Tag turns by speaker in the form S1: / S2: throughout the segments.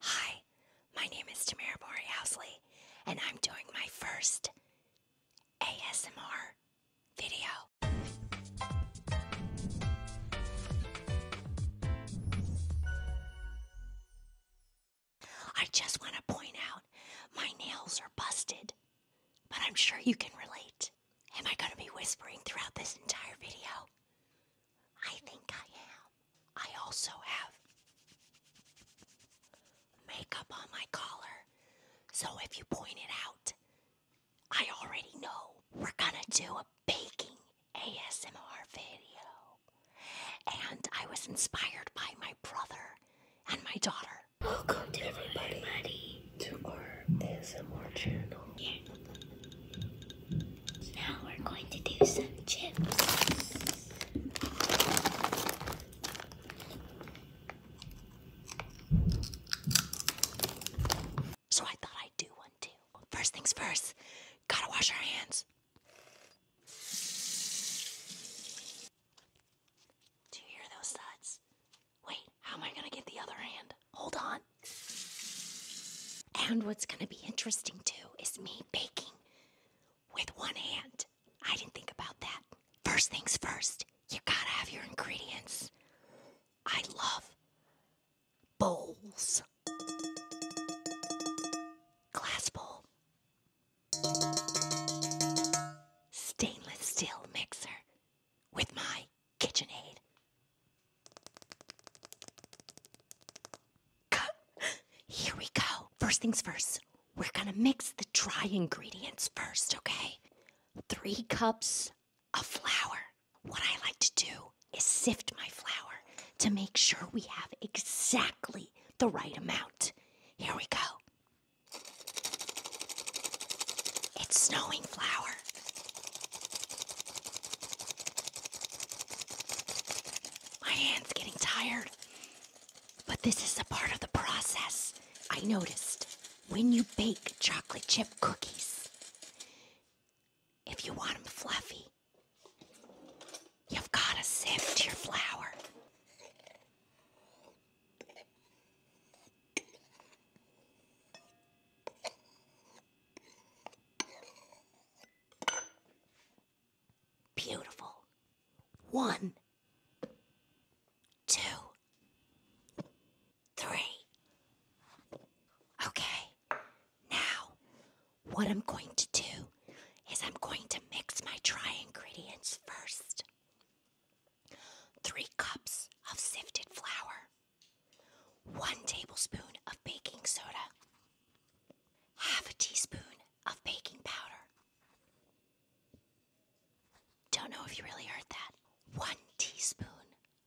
S1: Hi, my name is Tamara Mori Borehousley, and I'm doing my first ASMR video. I just want to point out my nails are busted, but I'm sure you can relate. Am I going to be whispering throughout this entire video? I think I am. I also have makeup on my collar. So if you point it out, I already know. We're gonna do a baking ASMR video. And I was inspired by my brother and my daughter. Welcome to everybody, to our ASMR channel. Now we're going to do some chips. So I thought I'd do one too. First things first, gotta wash our hands. Do you hear those thuds? Wait, how am I gonna get the other hand? Hold on. And what's going to be interesting too is me baking with one hand. I didn't think about that. First things first, you gotta have your ingredients. I love bowls. Glass bowl. Stainless steel mixer with my KitchenAid. Here we go. First things first, we're gonna mix the dry ingredients first, okay? Three cups of flour. What I like to do is sift my flour to make sure we have exactly the right amount. Here we go. It's snowing flour. My hand's getting tired. But this is a part of the process. I noticed when you bake chocolate chip cookies, if you want them fluffy, you've got to sift your flour. Beautiful. One, two, three. Okay, now what I'm going to do is I'm going to mix my dry ingredients first. Three cups of sifted flour, 1 tablespoon of baking soda, half a teaspoon of baking powder. Don't know if you really heard that. 1 teaspoon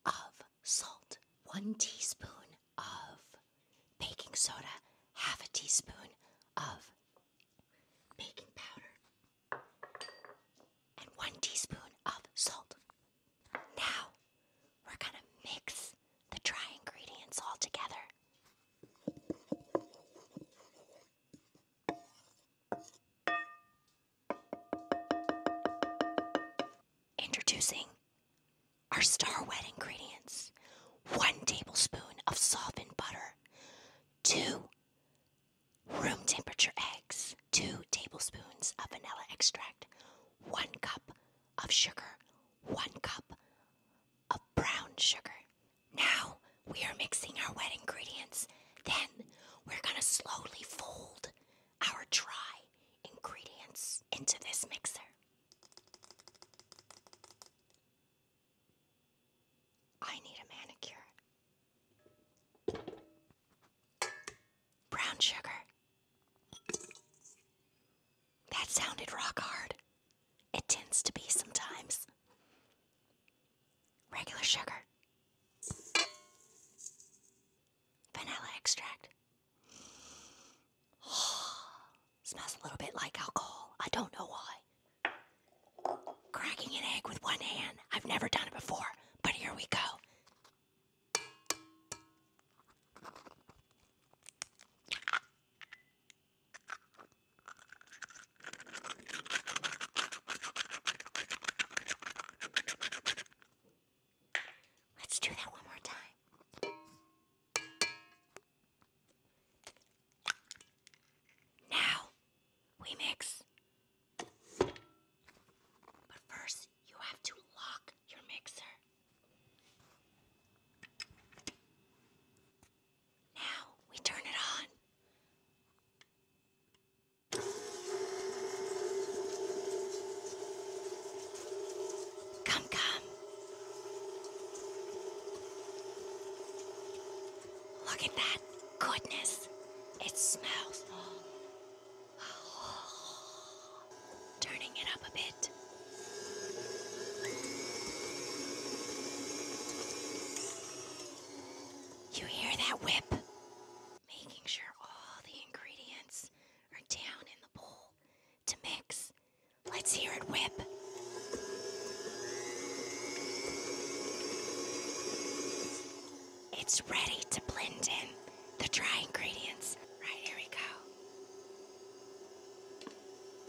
S1: of salt, 1 teaspoon of baking soda, half a teaspoon of baking powder and one teaspoon of salt. Now we're going to mix the dry ingredients all together. Introducing our star wet ingredients one tablespoon of softened butter, two room temperature eggs, 2 tablespoons of vanilla extract, 1 cup of sugar, 1 cup of brown sugar. Now we are mixing our wet ingredients. Then we're going to slowly fold our dry ingredients into this mixer. I need a manicure. Brown sugar. That sounded rock hard. It tends to be sometimes. Regular sugar. Vanilla extract. Smells a little bit like alcohol. I don't know why. Cracking an egg with one hand. I've never done it before, but here we go. Let's do that one more time. Now we mix. But first, you have to lock your mixer. Now we turn it on. Come, come. Look at that goodness, it smells. Turning it up a bit. You hear that whip? Making sure all the ingredients are down in the bowl to mix. Let's hear it whip. It's ready to blend in the dry ingredients. Right, here we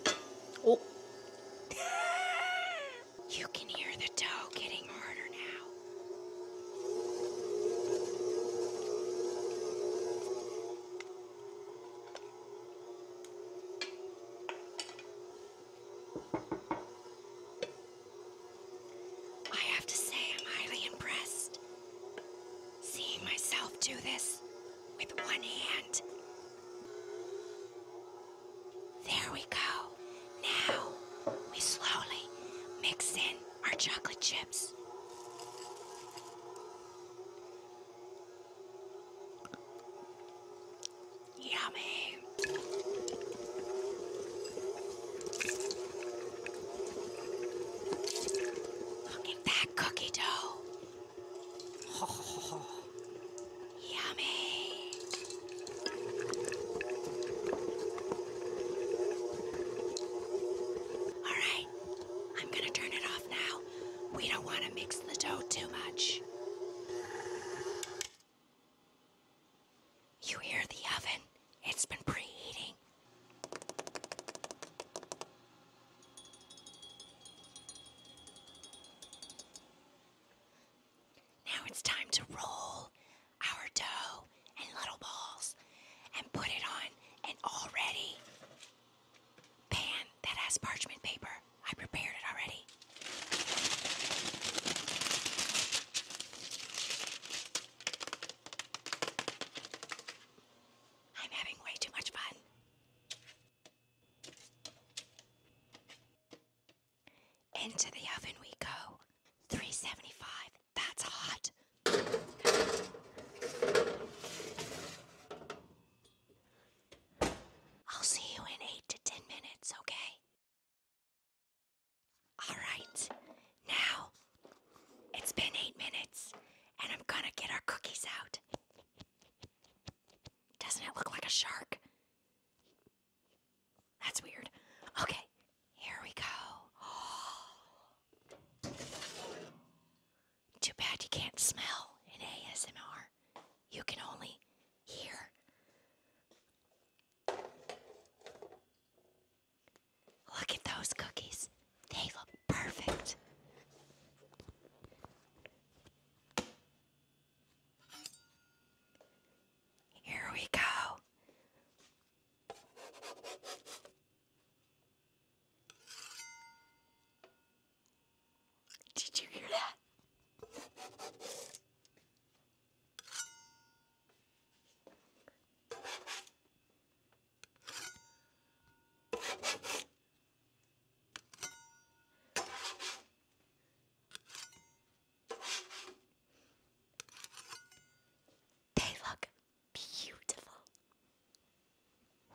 S1: go. Oh. you can hear the dough getting harder now. I have to say, I'm highly impressed. Seeing myself do this with one hand. There we go. Now we slowly mix in our chocolate chips. Yummy. Look at that cookie dough. yummy. All right, I'm going to turn it off now. We don't want to mix the dough too much. You hear the oven? It's been preheating. Now it's time to roll our dough in little balls and put it on an already pan that has parchment paper. I prepared it already. I'm having way too much fun. Into the oven we go. 375. That's hot. I'll see you in eight to ten minutes, okay? Alright, now it's been eight minutes and I'm gonna get our cookies out. Doesn't it look like a shark? That's weird. Okay, here we go. Too bad you can't smell in ASMR. You can only hear. Look at those cookies. They look perfect. Here we go. Did you hear that? They look beautiful.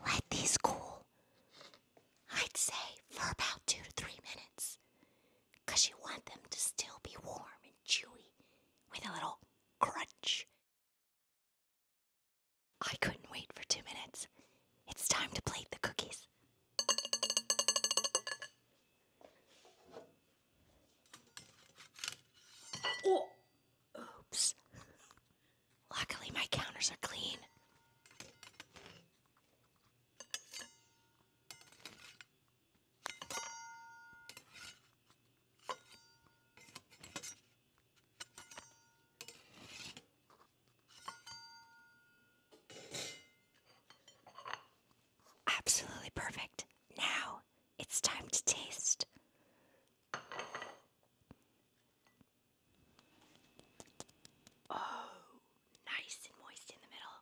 S1: Let these cool. I'd say for about two to three minutes. you want them to still be warm and chewy with a little crunch. I couldn't wait for two minutes. It's time to plate the cookies. Oh, Oops. Luckily, my counters are clean. Absolutely perfect. Now, it's time to taste. Oh, nice and moist in the middle.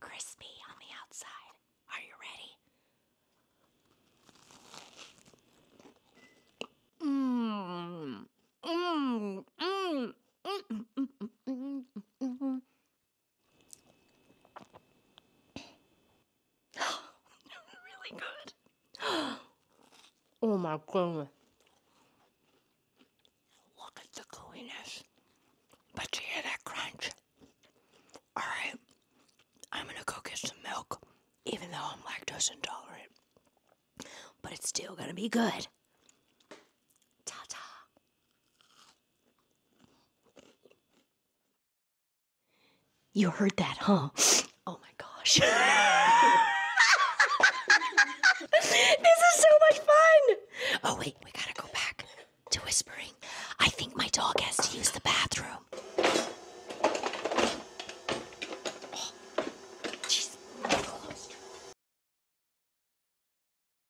S1: Crispy on the outside. Are you ready? Mmm. Mmm. Mmm. really good. Oh my goodness. Look at the gooiness. But you hear that crunch? Alright, I'm gonna go get some milk, even though I'm lactose intolerant. But it's still gonna be good. Ta ta. You heard that, huh? Oh my gosh. this is so much fun. Oh, wait, we gotta go back to whispering. I think my dog has to use the bathroom. Oh,